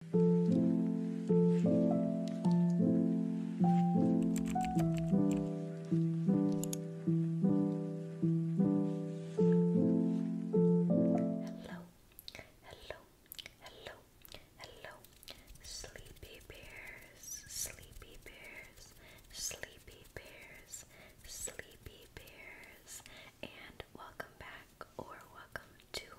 Hello, hello, hello, hello, sleepy bears, sleepy bears, sleepy bears, sleepy bears, and welcome back or welcome to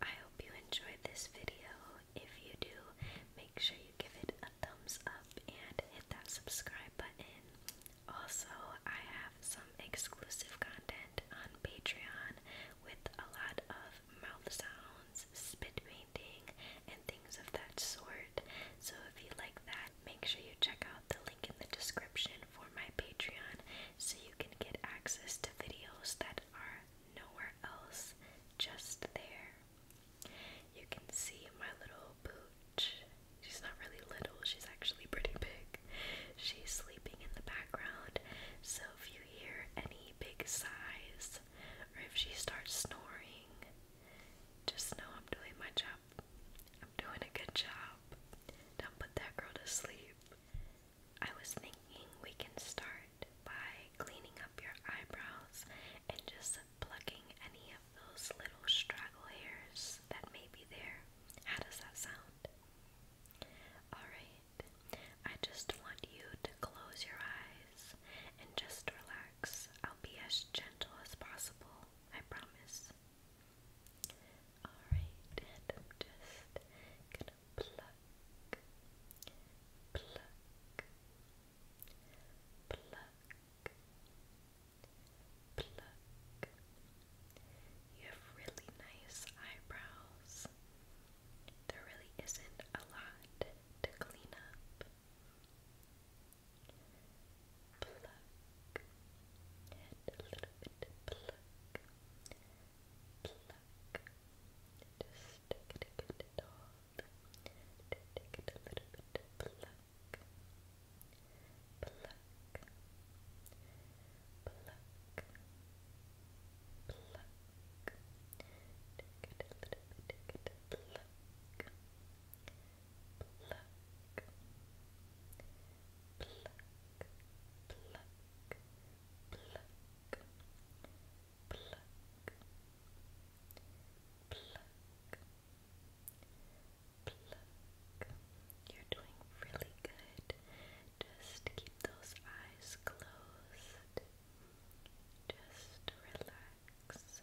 I hope you enjoyed this video. If you do, make sure you give it a thumbs up and hit that subscribe button. Also, I have some exclusive content on Patreon with a lot of mouth sounds, spit painting, and things of that sort. So if you like that, make sure you check out the link in the description for my Patreon so you can get access to videos that are nowhere else, just there. You can see my little pooch. She's not really little, she's actually pretty big. She's sleeping in the background, so if you hear any big sighs or if she starts snoring, just know I'm doing my job. I'm doing a good job. Don't put that girl to sleep. I was thinking we can start by cleaning up your eyebrows and just plucking any of those little straggly hairs that may be there. How does that sound? Alright, I just want you to close your eyes and just relax. I'll be as gentle as possible, I promise. Alright, and I'm just gonna pluck, pluck, pluck, pluck. You have really nice eyebrows. There really isn't a lot to clean up. Pluck, and a little bit pluck. Pluck, pluck. Just take it a good dog. Take it a little bit of pluck. Pluck. Pluck. Pluck. Take it a little bit, take it a pluck. Pluck. Pluck. Pluck. Pluck pluck, You're doing really good. Just keep those eyes closed. Just relax.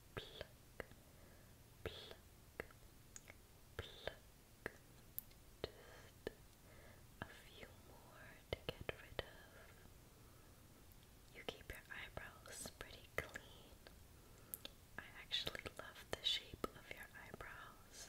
pluck, pluck, pluck. Just a few more to get rid of. You keep your eyebrows pretty clean. I actually love the shape of your eyebrows.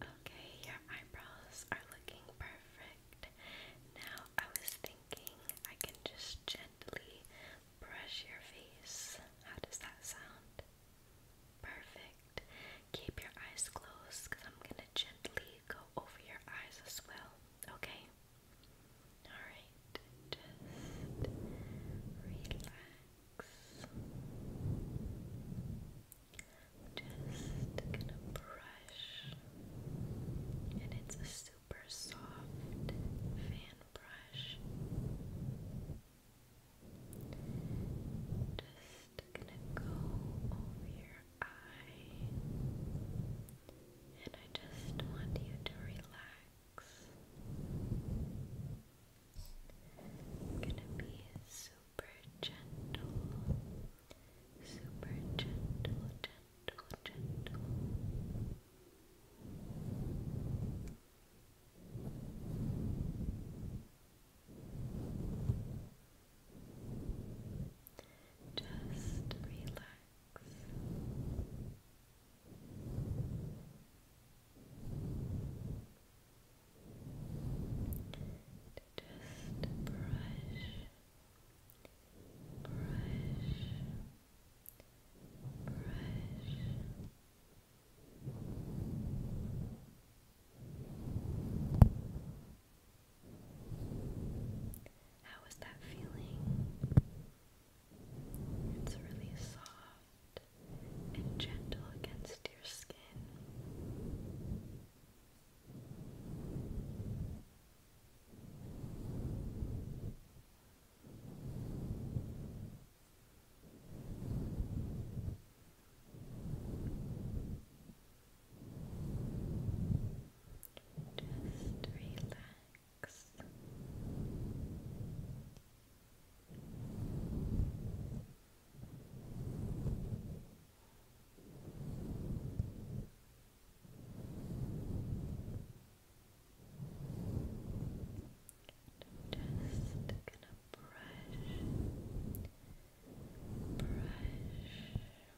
Okay, your eyebrows are looking perfect. Now I was thinking I can just gently brush your face. How does that sound? Perfect. Keep your eyes closed because I'm going to gently go over your eyes as well okay? Alright, just relax. Just gonna brush, and it's a super soft fan brush. Just gonna go over your eye, and I just want you to relax. gonna be super gentle, super gentle, gentle, gentle. Just relax. Just brush, brush, brush. How is that feeling? It's really soft and gentle against your skin. Just relax. just gonna brush, brush,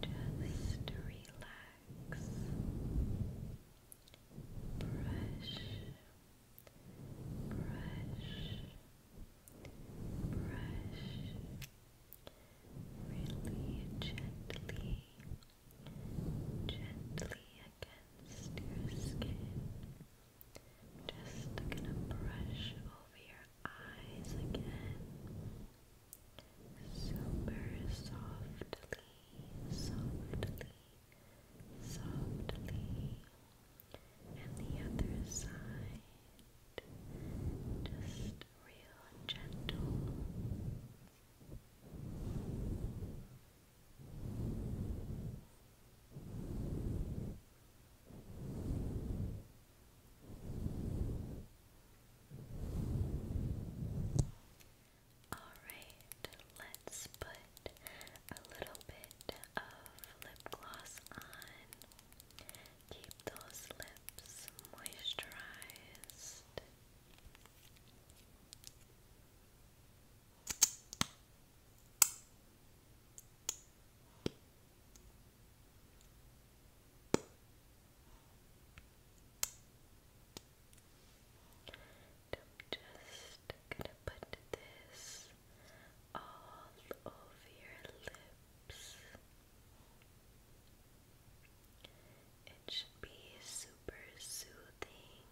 Just relax. Brush, brush, brush, really gently gently against your skin. Just gonna brush over your eyes again. Super softly, softly, softly. And the other side. Just real gentle, Alright, let's put a little bit of lip gloss on. Keep those lips moisturized. I'm just gonna put this all over your lips. It should be super soothing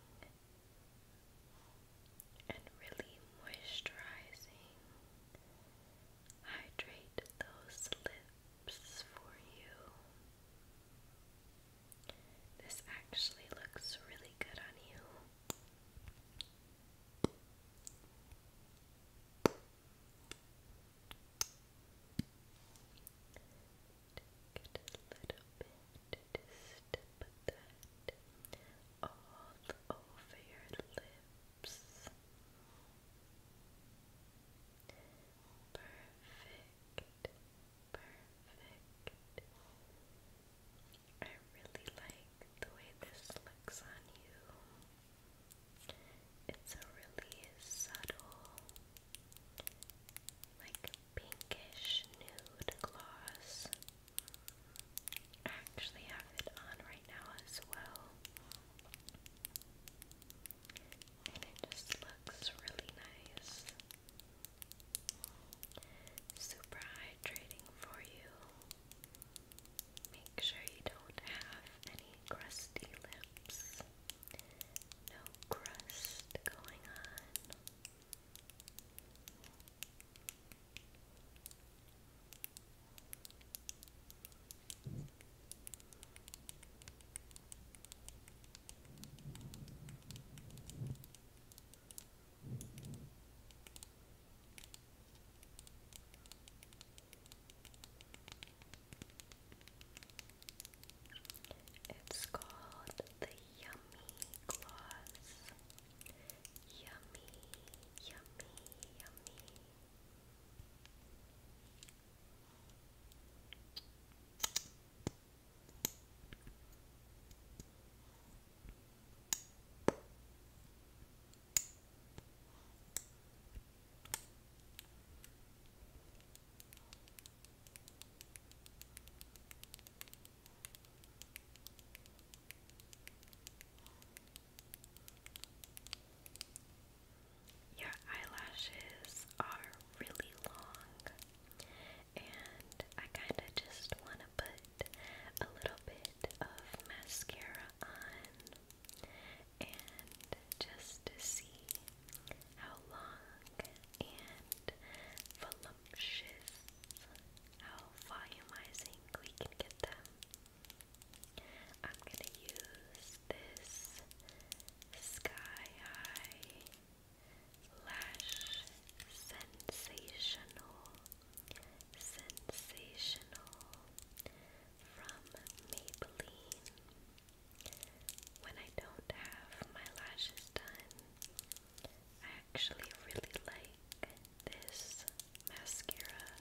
and really moisturizing. Hydrate those lips for you. This actually looks really good on you. Take a little bit, just all over your lips. Perfect, perfect. I really like the way this looks on you. It's a really subtle like pinkish nude gloss. actually have it on right now as well. And it just looks really nice. Super hydrating for you. Make sure you don't have any crusty lips. No crust going on. Okay. It's called the Yummy Gloss. Yummy, yummy, yummy. Yummy, your eyelashes are really long, and I kind of just want to put a little bit of mascara on and just to see how long and voluptuous. How volumizing we can get them. I'm gonna use this sky high lash sensational sensational from Maybelline. When I don't have my lashes done, I actually really like this mascara.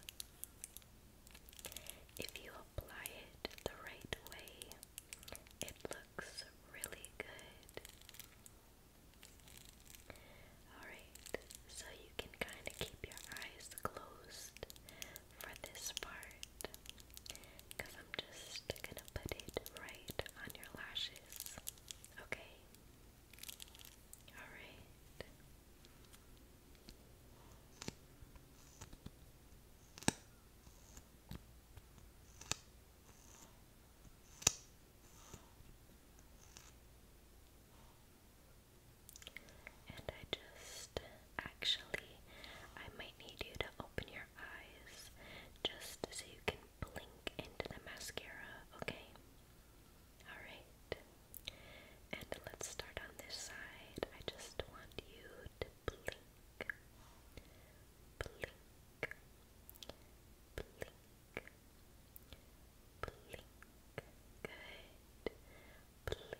If you apply it the right way, it looks really good. Alright, so you can kind of keep your eyes closed for this part because I'm just gonna put it right on your lashes. Okay? Alright. And I just Actually, I might need you to open your eyes just so you can blink into the mascara, okay? Alright. And let's start on this side. I just want you to blink. Blink. Blink. Blink. Good. Blink.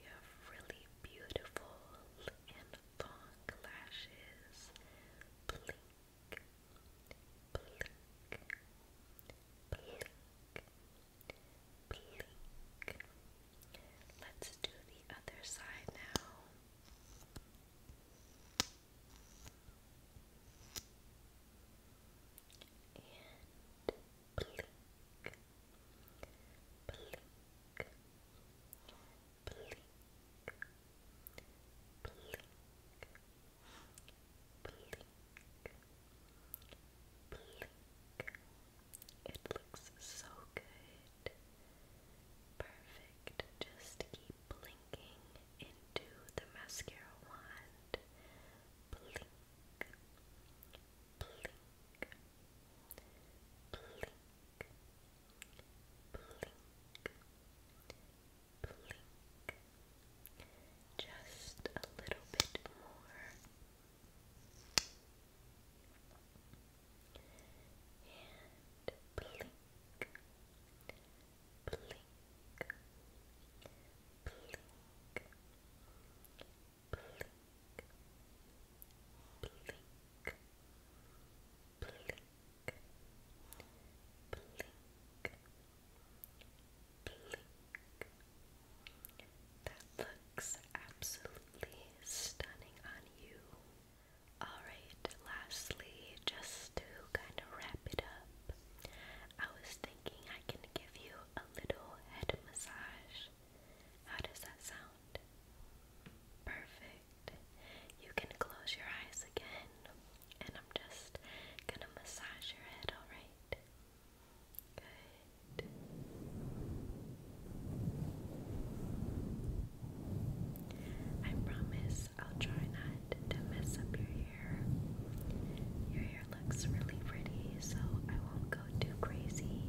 You have really beautiful and long lashes. Blink, blink, blink, blink. Let's do the other side now. And blink, blink, blink, blink. Blink, blink. It looks so good. Perfect. Just keep blinking into the mascara wand. blink, blink, blink, blink, blink, just a little bit more, and blink, blink, blink blink, blink, blink. That looks absolutely stunning on you. Alright, lastly, just to kind of wrap it up, I was thinking I can give you a little head massage. How does that sound? Perfect. You can close your eyes again, and I'm just gonna massage your head, alright? Good. I promise I'll try not to mess up your hair. Your hair looks really pretty, so I won't go too crazy.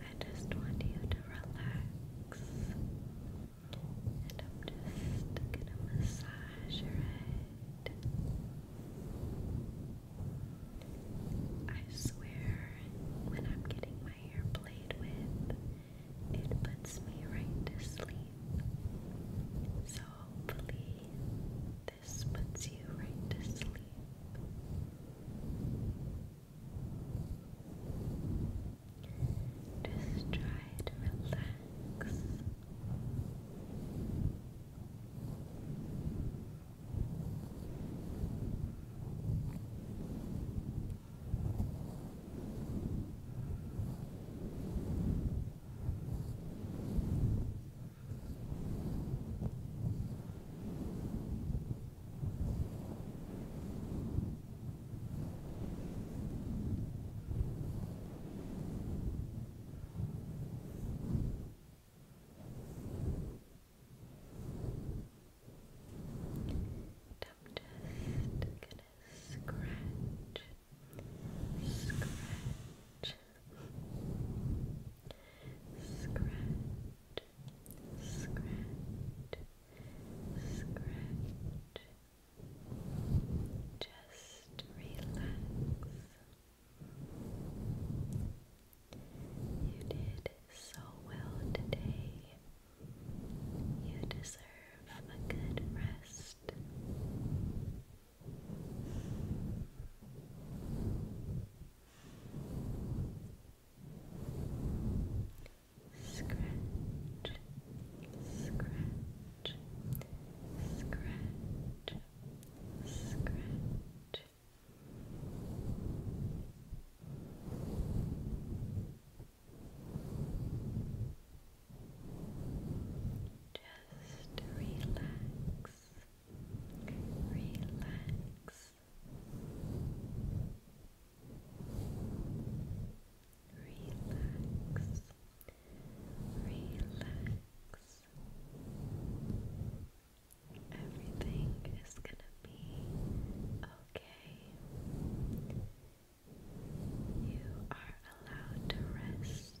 I just want you to relax. I'm just gonna massage your head. I swear, when I'm getting my hair played with, it puts me right to sleep. So hopefully, this puts you right to sleep. Just try to relax. I'm just gonna scratch, scratch, Scratch, scratch, scratch. Just relax. You did so well today. You deserve a good rest. Scratch, scratch, scratch, scratch. Just relax relax, relax, relax. Everything is gonna be okay. You are allowed to rest.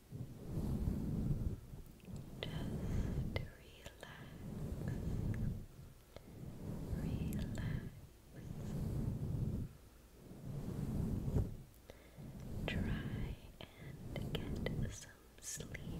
Just relax, relax. Try and get some sleep.